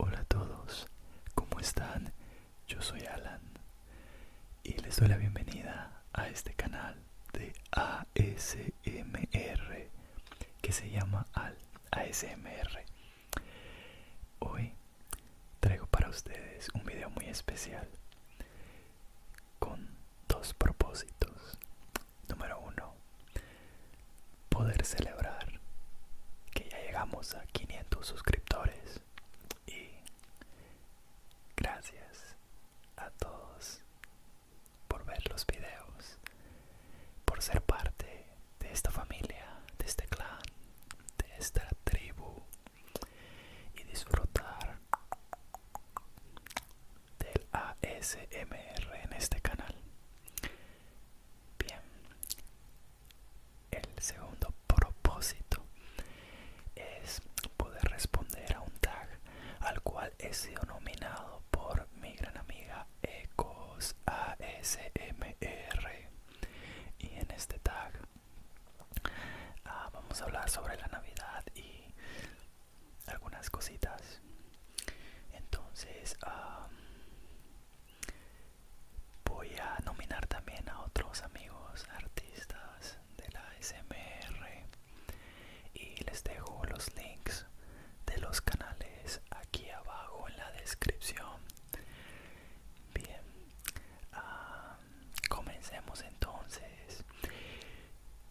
Hola a todos, ¿cómo están? Yo soy Alan y les doy la bienvenida a este canal de AS. ASMR que se llama al ASMR. Hoy traigo para ustedes un video muy especial con dos propósitos. Número uno, poder celebrar que ya llegamos a 500 suscriptores y gracias a todos por ver los videos, por ser parte de esta familia, de este clan, de esta tribu y disfrutar del ASMR en este canal. Bien, el segundo propósito es poder responder a un tag al cual he sido nominado por mi gran amiga Ecos ASMR. Y en este tag ah, vamos a hablar sobre la Navidad y algunas cositas. Entonces ah, voy a nominar también a otros amigos artistas de la SMR y les dejo los links de los canales aquí abajo en la descripción bien ah, comencemos entonces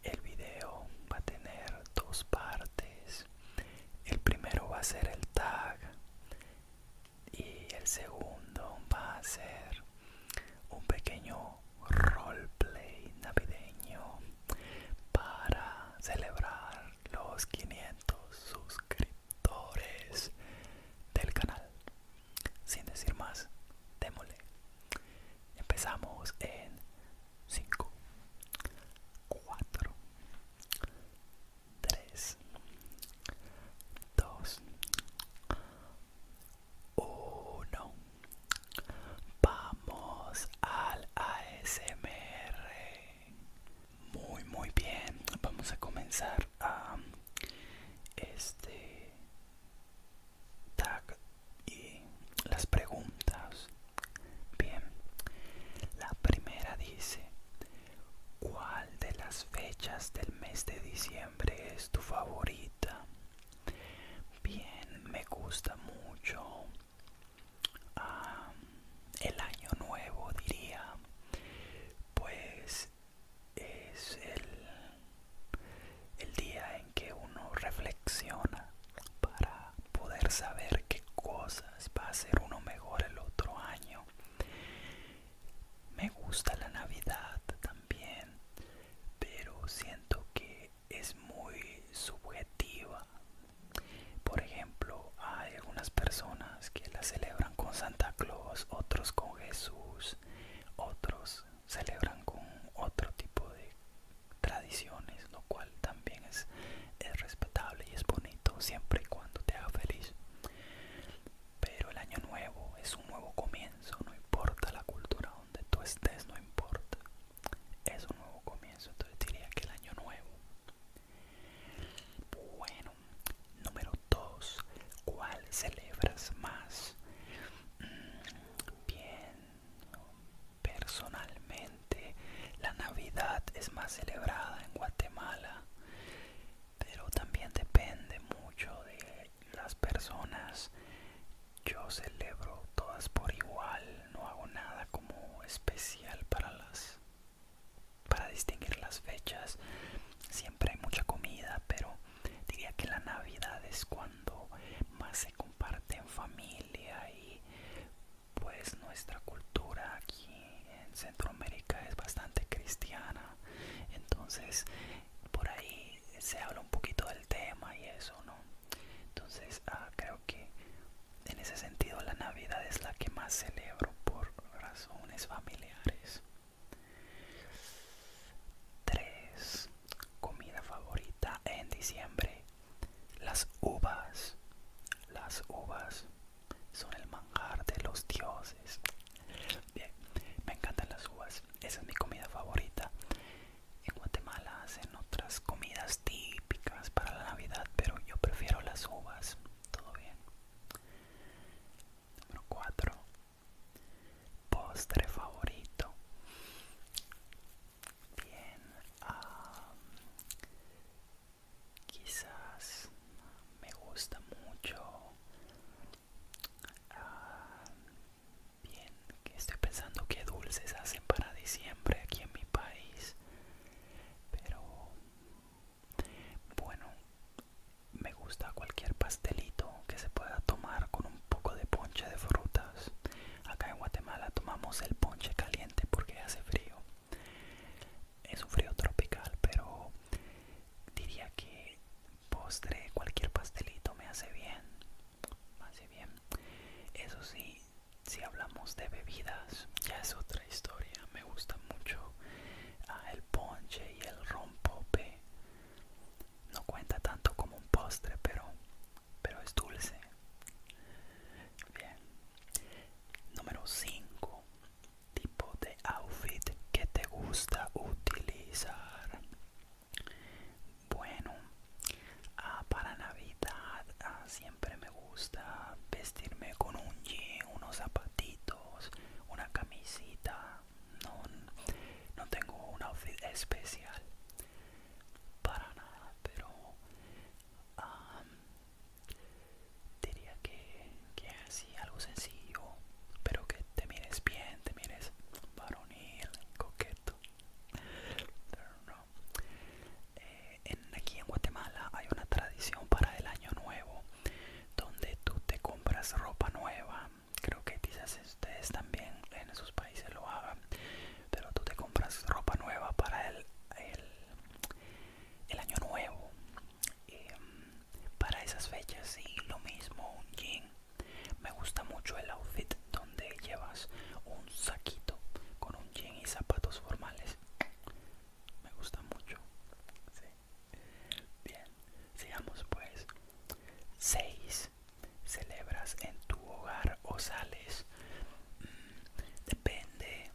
el video va a tener dos partes el primero va a ser el tag y el segundo va a ser un pequeño roleplay navideño para celebrar los 500 suscriptores del canal. Sin decir más, démosle. Empezamos en 5, 4, 3, 2, 1. Vamos al ASMR. Muy, muy bien. Vamos a comenzar a este tag y las preguntas. Bien. La primera dice, ¿cuál de las fechas del mes de diciembre es tu favorita? Bien, me gusta mucho Ah, el año nuevo diría pues es el día en que uno reflexiona para poder saber qué cosas va a hacer uno mejor el otro año me gusta la navidad también pero siento que es muy subjetiva. Por ejemplo, hay algunas personas que la celebran con Santa Claus, otros con Jesús, otros celebran con otro tipo de tradiciones, lo cual también es, respetable y es bonito siempre y cuando te haga feliz. Pero el año nuevo es un nuevo comienzo, no importa la cultura donde tú estés, no importa es un nuevo comienzo, entonces diría que el año nuevo. Bueno, número dos ¿cuál celebras más? Mm, bien, personalmente la Navidad es más celebrada en Guatemala, pero también depende mucho de las personas yo celebro todas por igual, no hago nada como especial para las para distinguir las fechas. Siempre hay mucha comida, pero diría que la Navidad es cuando más se comparte en familia y pues nuestra cultura aquí en Centroamérica es bastante cristiana. Entonces, por ahí se habla un poquito del tema y eso, ¿no? entonces ah, creo que en ese sentido la navidad es la que más celebro por razones familiares 3 comida favorita en diciembre las uvas las uvas son el manjar de los dioses bien me encantan las uvas esa es mi comida favorita en Guatemala hacen otras comidas típicas para la Navidad, pero yo prefiero las uvas. Todo bien. Número 4. Postre favorito. Bien. quizás me gusta mucho. bien estoy pensando qué dulces hacen para diciembre aquí en mi país pero bueno me gusta cualquier pastelito que se pueda tomar con un poco de ponche de frutas acá en Guatemala tomamos el ponche caliente porque hace frío es un frío tropical pero diría que postre cualquier pastelito me hace bien me hace bien eso sí si hablamos de bebidas, ya es otra historia. Me gusta mucho ah, el ponche y el rompope. No cuenta tanto como un postre, pero, pero es dulce. Bien. Número 5. Tipo de outfit que te gusta utilizar. Bueno, ah, para Navidad ah, siempre me gusta vestirme con un jean, unos zapatitos, una camisita. No, tengo un outfit especial para nada, pero ah, diría que, así, algo sencillo, pero que te mires bien, te mires varonil, coqueto. Eh, en, aquí en Guatemala hay una tradición para el año nuevo donde tú te compras ropa nueva. Creo que quizás ustedes también en sus países lo hagan, pero tú te compras ropa nueva para el, el, año nuevo. Em, para esas fechas y lo mismo un jean me gusta mucho el outfit donde llevas un saquito con un jean y zapatos formales. Me gusta mucho. Bien, sigamos pues. 6. Celebras en tu hogar o sales. Mm, depende.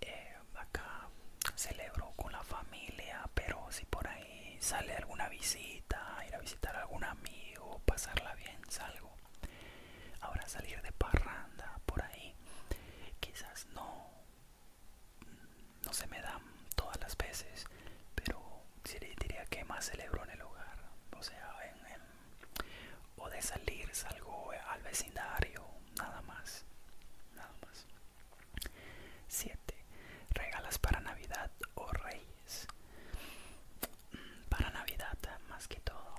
Eh, acá celebro con la familia, pero si por ahí sale alguna visita, ir a visitar a algún amigo, pasarla bien, salgo. Ahora salir de parranda por ahí, quizás no, no se me dan todas las veces, pero diría que más celebro en el hogar, o sea, o de salir salgo al vecindario, nada más, nada más. 7. Regalas para Navidad o Reyes para navidad más que todo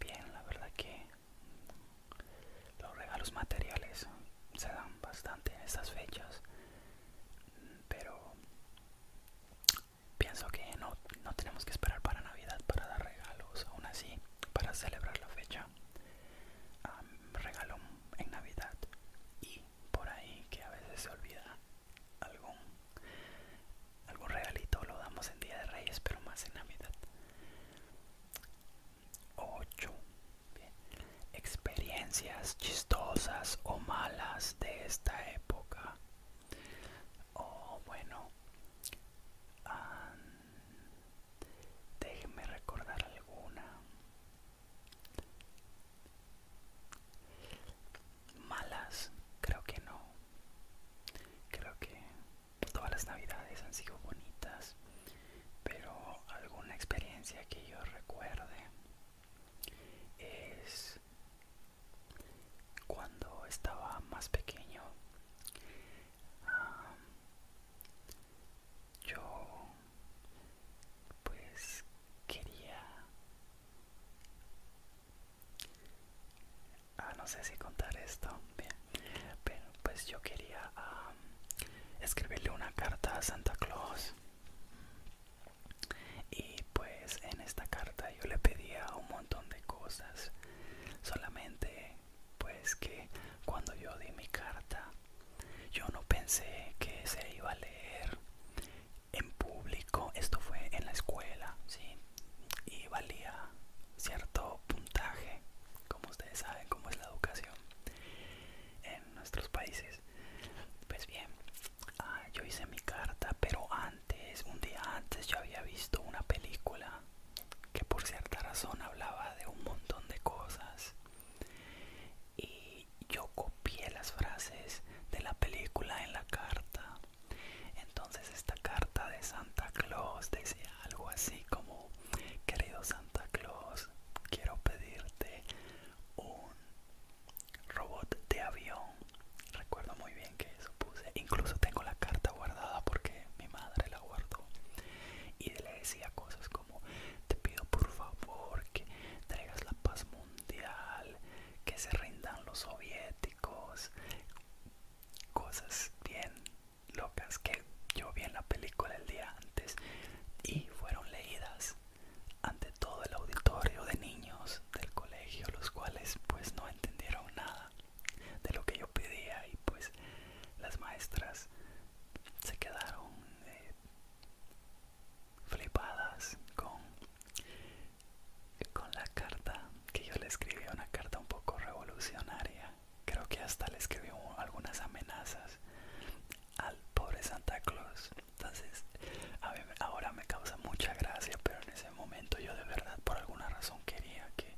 bien la verdad que los regalos materiales se dan bastante en estas fechas pero pienso que no, tenemos que esperar para navidad para dar regalos aún así para celebrar la fecha regalo en navidad y por ahí que a veces se olvida algún, algo regalito lo damos en Día de Reyes, pero más en Navidad. 8. Experiencias chistosas o malas de esta época. O oh, bueno, déjenme recordar alguna. Malas, creo que no. Creo que todas las navidades han sido bonitas, pero alguna experiencia que yo recuerde es cuando estaba más pequeño. yo pues quería Ah, no sé si contar esto. Bien. Pero pues yo quería escribirle una carta a Santa Claus. Y pues en esta carta yo le pedía un montón de cosas. Solamente pues que cuando yo di mi carta yo no pensé que se iba a leer en público, esto fue en la escuela, ¿sí? Y valía cierto puntaje, como ustedes saben cómo es la educación en nuestros países. Pues bien, ah, yo hice mi carta, pero antes, un día antes yo había visto una película que por cierta razón hablaba de un montón de cosas y yo copié las frases de la película en la carta entonces esta carta de Santa Claus decía algo así como, querido Santa Claus, quiero pedirte un robot de avión. Recuerdo muy bien que eso puse. Incluso tengo la carta guardada porque mi madre la guardó. Y le decía cosas como, te pido por favor que traigas la paz mundial, que se rindan los soviéticos cosas bien locas que yo vi en la película el día antes y fueron leídas ante todo el auditorio de niños del colegio, los cuales pues no entendieron nada de lo que yo pedía y pues las maestras se quedaron eh, flipadas con con la carta que yo le escribí, una carta un poco revolucionaria. Creo que hasta le escribí algunas amenazas al pobre Santa Claus. Entonces, ahora me causa mucha gracia, pero en ese momento yo de verdad por alguna razón quería que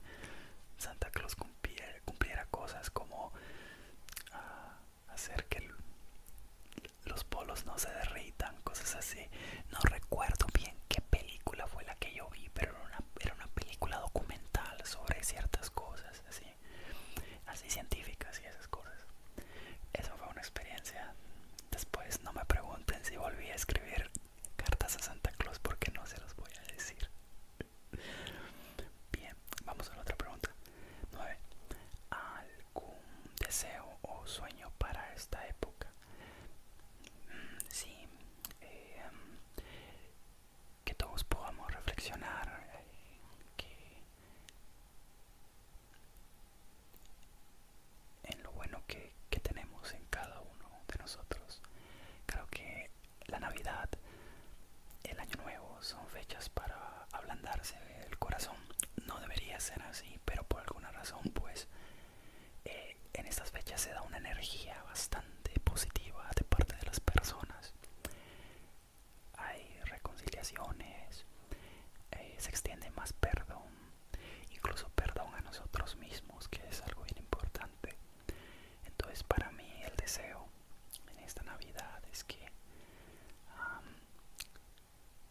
Santa Claus cumpliera, cumpliera cosas como ah, hacer que los polos no se derritan tan cosas así. No recuerdo bien qué película fue la que yo vi, pero era una, era una película documental sobre ciertas cosas, así, así científicas y esas cosas. Eso fue una experiencia. Después no me pregunten si volví a escribir cartas a Santa Claus porque no se los voy a decir. Bien, vamos a la otra pregunta. 9. ¿Algún deseo o sueño para esta época? sí, eh, que todos podamos reflexionar, en lo bueno que, que tenemos en cada uno de nosotros. Creo que la Navidad, el Año Nuevo son fechas para ablandarse el corazón. No debería ser así, pero por alguna razón pues eh, en estas fechas se da una energía bastante positiva de parte de las personas hay reconciliaciones eh, se extiende más perdón incluso perdón a nosotros mismos que es algo bien importante entonces para mí el deseo en esta navidad es que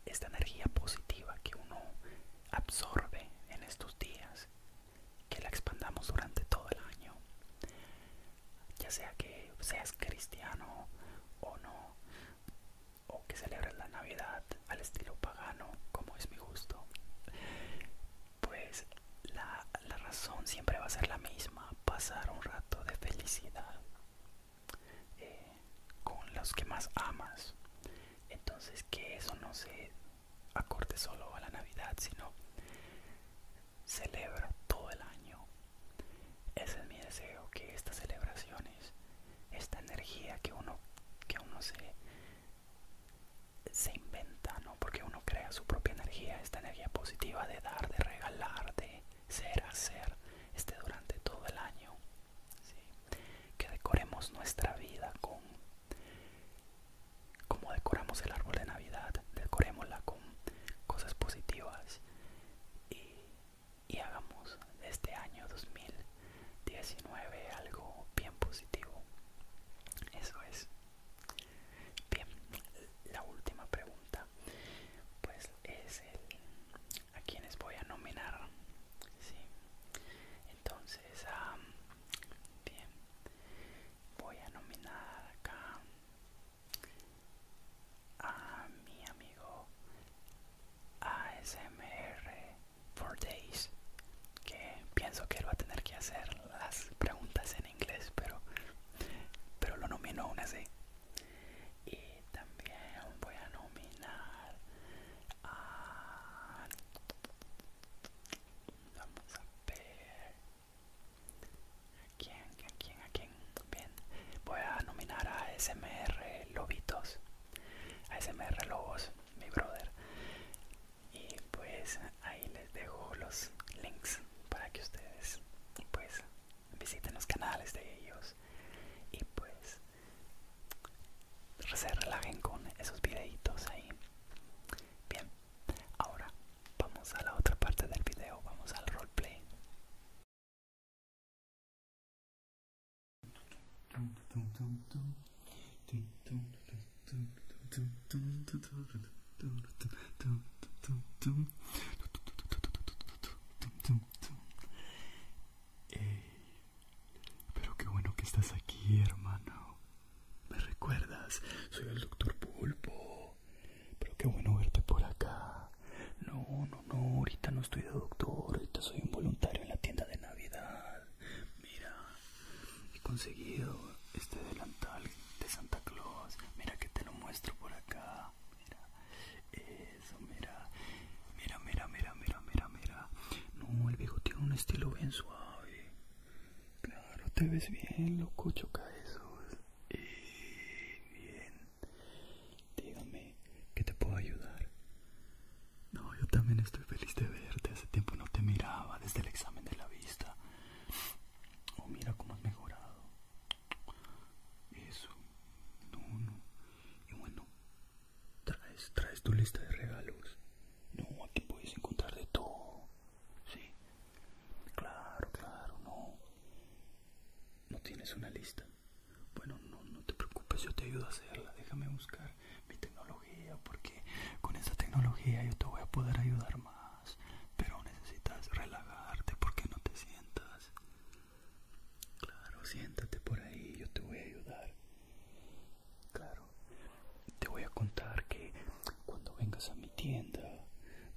esta energía positiva que uno absorbe en estos días que la expandamos durante todo el año ya sea que seas cristiano o no o que celebres la navidad al estilo pagano como es mi gusto pues la, razón siempre va a ser la misma pasar un rato de felicidad eh, con los que más amas entonces que eso no se acorde solo a la Navidad, sino celebra todo el año. Ese es mi deseo, que estas celebraciones, esta energía que uno, que uno se, se inventa, ¿no? Porque uno crea su propia energía, esta energía positiva de dar, de regalar, de ser, hacer, este durante todo el año. Que decoremos nuestra vida con como decoramos el árbol de Navidad, decorémosla con cosas positivas y, hagamos hagamos este año 2019 algo bien positivo. Eso es. Bien, la última pregunta, pues es a quienes voy a nominar. Entonces, bien voy a nominar acá a mi amigo ASMR for Days que pienso que él va a tener que hacer las preguntas en inglés pero pero lo nomino aún así y también voy a nominar a Vamos a ver. ¿A quién? ¿A quién? ¿A quién? Bien. Voy a nominar a SMR Lobitos. A SMR Lobos, mi brother. Y pues ahí les dejo los links para que ustedes pues visiten los canales de ellos. Y pues se relajen con esos videitos ahí. Bien, ahora vamos a la otra parte del video, vamos al roleplay. play. Eh, pero qué bueno que estás aquí, hermano. ¿Me recuerdas? Soy el doctor Pulpo. Pero qué bueno verte por acá. No, no, no, ahorita no estoy de doctor, ahorita soy un voluntario en la tienda de Navidad. Mira, he conseguido este delantal de Santa Claus. Mira que te lo muestro por acá. Mira, eso, mira. Mira, mira, mira, mira, mira, mira. No, el viejo tiene un estilo bien suave. Claro, te ves bien, loco, choca esos. bien. Dígame, ¿qué te puedo ayudar? No, yo también estoy feliz de verte. Hace tiempo no te miraba desde el examen de la vista. Oh, mira cómo has mejorado. Eso. No, no. Y bueno, traes tu lista de regalos. No, aquí puedes encontrar de todo. Sí. Claro, claro, no. ¿No tienes una lista? Bueno, no, no te preocupes, yo te ayudo a hacerla. Déjame buscar mi tecnología porque con esa tecnología yo te voy a poder ayudar más. Pero necesitas relajarte porque no te sientas. Claro, siéntate por ahí, yo te voy a ayudar. Claro. Te voy a contar que cuando vengas a mi tienda,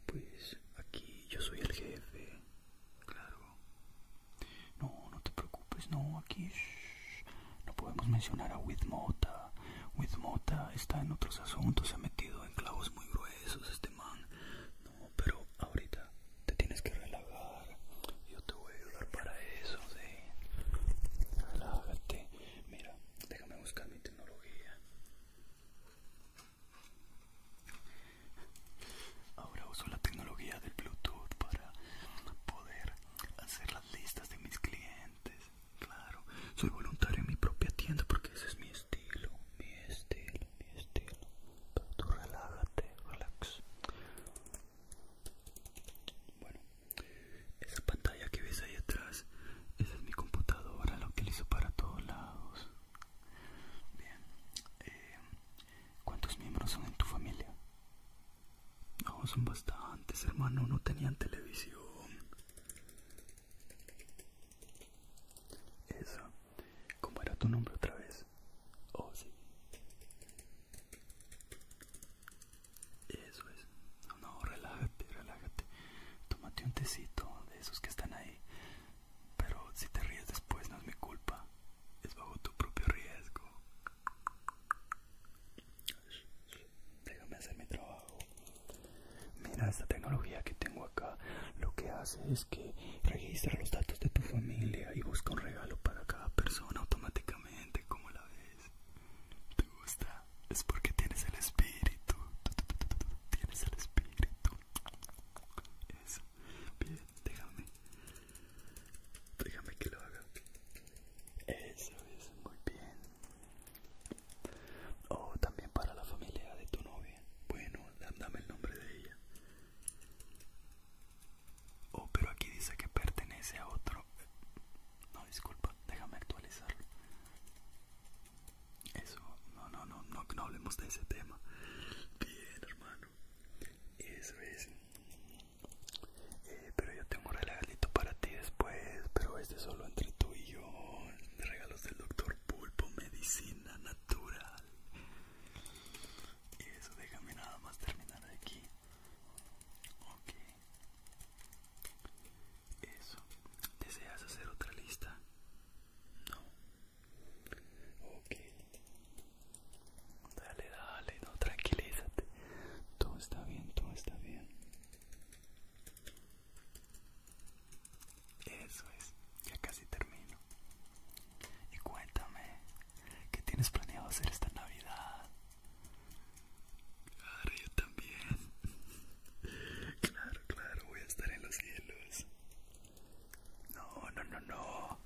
pues aquí yo soy el jefe. Claro. No, no te preocupes, no, aquí no podemos mencionar a Withmota Withmota está en otros asuntos, se ha metido en clavos muy gruesos este man. No, pero ahorita te tienes que relajar. Yo te voy a ayudar para eso, sí. Relájate. Mira, déjame buscar mi tecnología. Ahora uso la tecnología del Bluetooth para poder hacer las listas de mis clientes. Claro, soy voluntario en mi propia tienda porque ese es mi estilo, mi estilo, mi estilo. Pero tú relájate, relax. Bueno, esa pantalla que ves ahí atrás, esa es mi computadora, la utilizo para todos lados. Bien, eh, ¿cuántos miembros son en tu familia? No, son bastantes, hermano, no tenían televisión. Eso, ¿cómo era tu nombre otra vez? Oh, sí. Eso es. No, relájate, relájate. Tómate un tecito de esos que están ahí. Pero si te ríes después no es mi culpa. Es bajo tu propio riesgo. Déjame hacer mi trabajo. Mira esta tecnología que tengo acá. Lo que hace es que registra los datos de tu familia y busca un regalo para cada persona automáticamente. Como la ves? te gusta es porque tienes el espíritu tienes el espíritu eso bien déjame déjame que lo haga eso es muy bien o oh, también para la familia de tu novia bueno dame el nombre de ella oh pero aquí dice que pertenece a otro no, disculpa, déjame actualizarlo. Eso, no, no, no, no, hablemos de ese tema. Bien, hermano. Eso es. Eh, pero yo tengo un regalito para ti después, pero este solo entre tú y yo. Regalos del doctor Pulpo, medicina natural. Y eso, déjame nada más terminar aquí. Ok, eso. ¿Deseas hacer otra lista? No. Ok. Dale, dale, no, tranquilízate. Todo está bien, todo está bien. Eso es, ya casi termino. Y cuéntame, ¿qué tienes planeado hacer esta Navidad? Claro, yo también. Claro, claro, voy a estar en los cielos. No, no, no, no.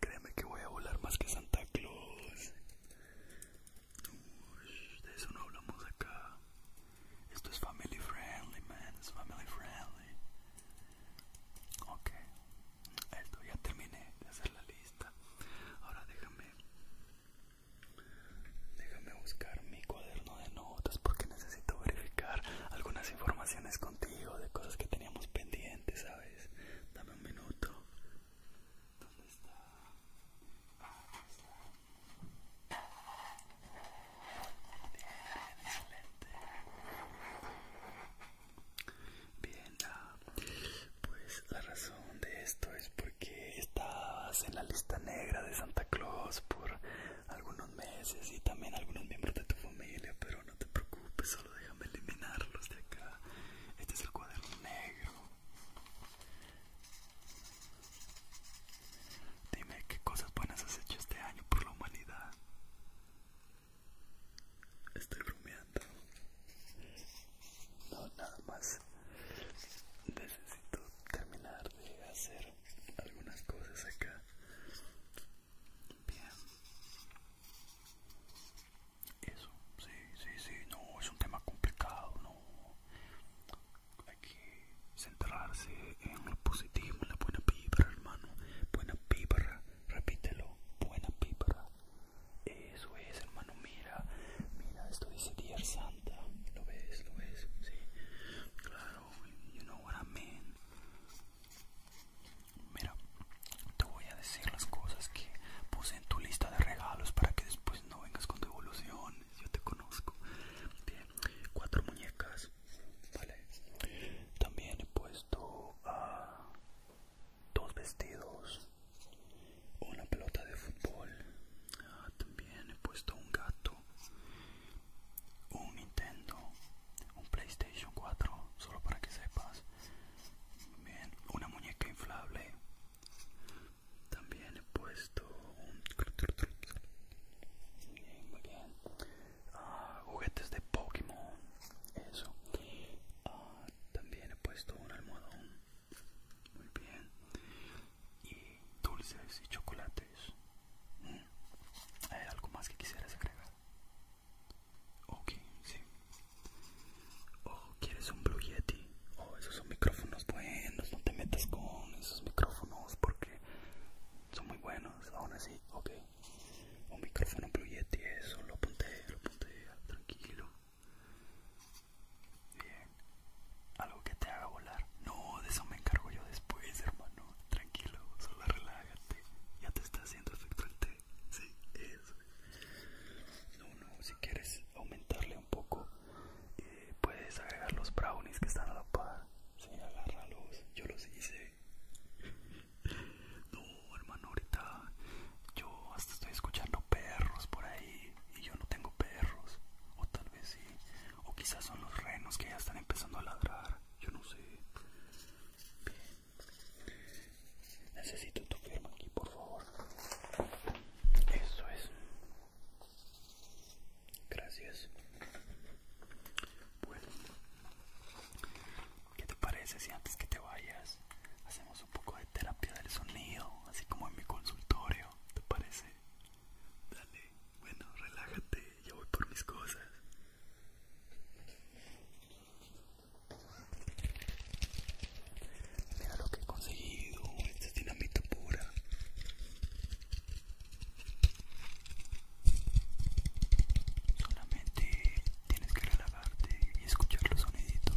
Créeme que voy a volar más que Santa Claus. de eso no hablamos acá. Esto es family friendly, man. Es family friendly. Ok. Esto ya terminé de hacer la lista. Ahora déjame Déjame buscar mi cuaderno de notas porque necesito verificar algunas informaciones contigo de cosas que teníamos pendientes, ¿sabes? Dame un minuto. ¿Dónde está? Ah, está. Bien, excelente. Bien, pues la razón de esto es porque estabas en la lista negra de Santa Claus por algunos meses y también algunos miembros de tu familia, pero no te preocupes, solo déjame eliminarlos de acá. Este es el cuaderno negro. Dime qué cosas buenas has hecho este año por la humanidad. Estoy bromeando no nada más necesito terminar de hacer algunas cosas acá bien eso sí sí sí no es un tema complicado no hay que centrarse en lo positivo en la buena vibra hermano buena vibra repítelo buena vibra eh, eso es, hermano, mira, mira, esto dice Santa, lo ves, lo ves, sí, claro, you know what I mean. Mira, te voy a decir las cosas que puse en tu lista de regalos para que después no vengas con devoluciones, yo te conozco. Bien, cuatro muñecas, También he puesto ah, dos vestidos una pelota de fútbol ah, también he puesto un gato un Nintendo un PlayStation 4 solo para que sepas también una muñeca inflable también he puesto un muy bien. Ah, juguetes de Pokémon eso ah, también he puesto un almohadón muy bien. Y dulces y chocolates. Mm. ¿Hay algo más que quisieras agregar? Ok, sí. ¿O oh, ¿quieres un Blue Yeti? Oh, esos son micrófonos buenos. No te metas con esos micrófonos porque son muy buenos. Aún así, ok. Un micrófono Blue Yeti, eso. Lo ponte lo Tranquilo. Bien. Algo que te haga volar. No, de eso me encargo yo después, hermano. Tranquilo, solo relájate. Ya te está haciendo efecto el té. Sí, eso. No, no, si quieres aumentarle un poco, eh, puedes agregar los brownies que están a la par. Sí, Yo los hice. No, hermano, ahorita yo hasta estoy escuchando perros por ahí y yo no tengo perros. O o quizás son los renos que ya están empezando a ladrar. Yo no sé. Necesito tu firma aquí, por favor. Eso es. Gracias. Bueno. ¿Qué te parece si antes que te vayas hacemos un poco de terapia del sonido? Así como en mi consultorio. ¿Te parece? Dale, bueno, relájate, yo voy por mis cosas. Mira lo que he conseguido, esta es dinamita pura. Solamente tienes que relajarte y escuchar los soniditos.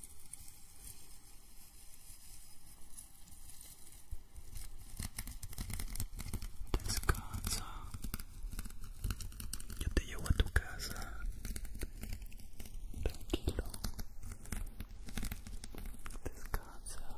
Descansa. Yo te llevo a tu casa. Tranquilo. Descansa.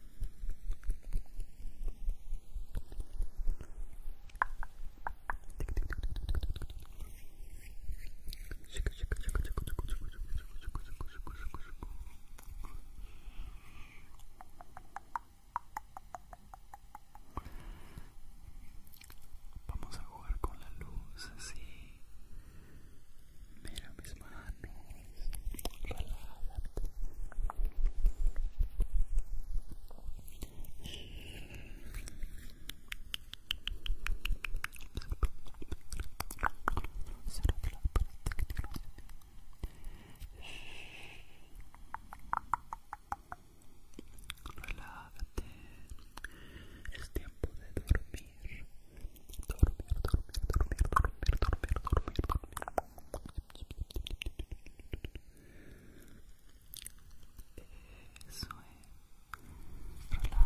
Vamos a jugar con la luz así. Mira mis manos. Relájate. Es tiempo de dormir. Dormir, dormir, dormir, dormir, dormir, dormir, dormir. Eso es. Relájate.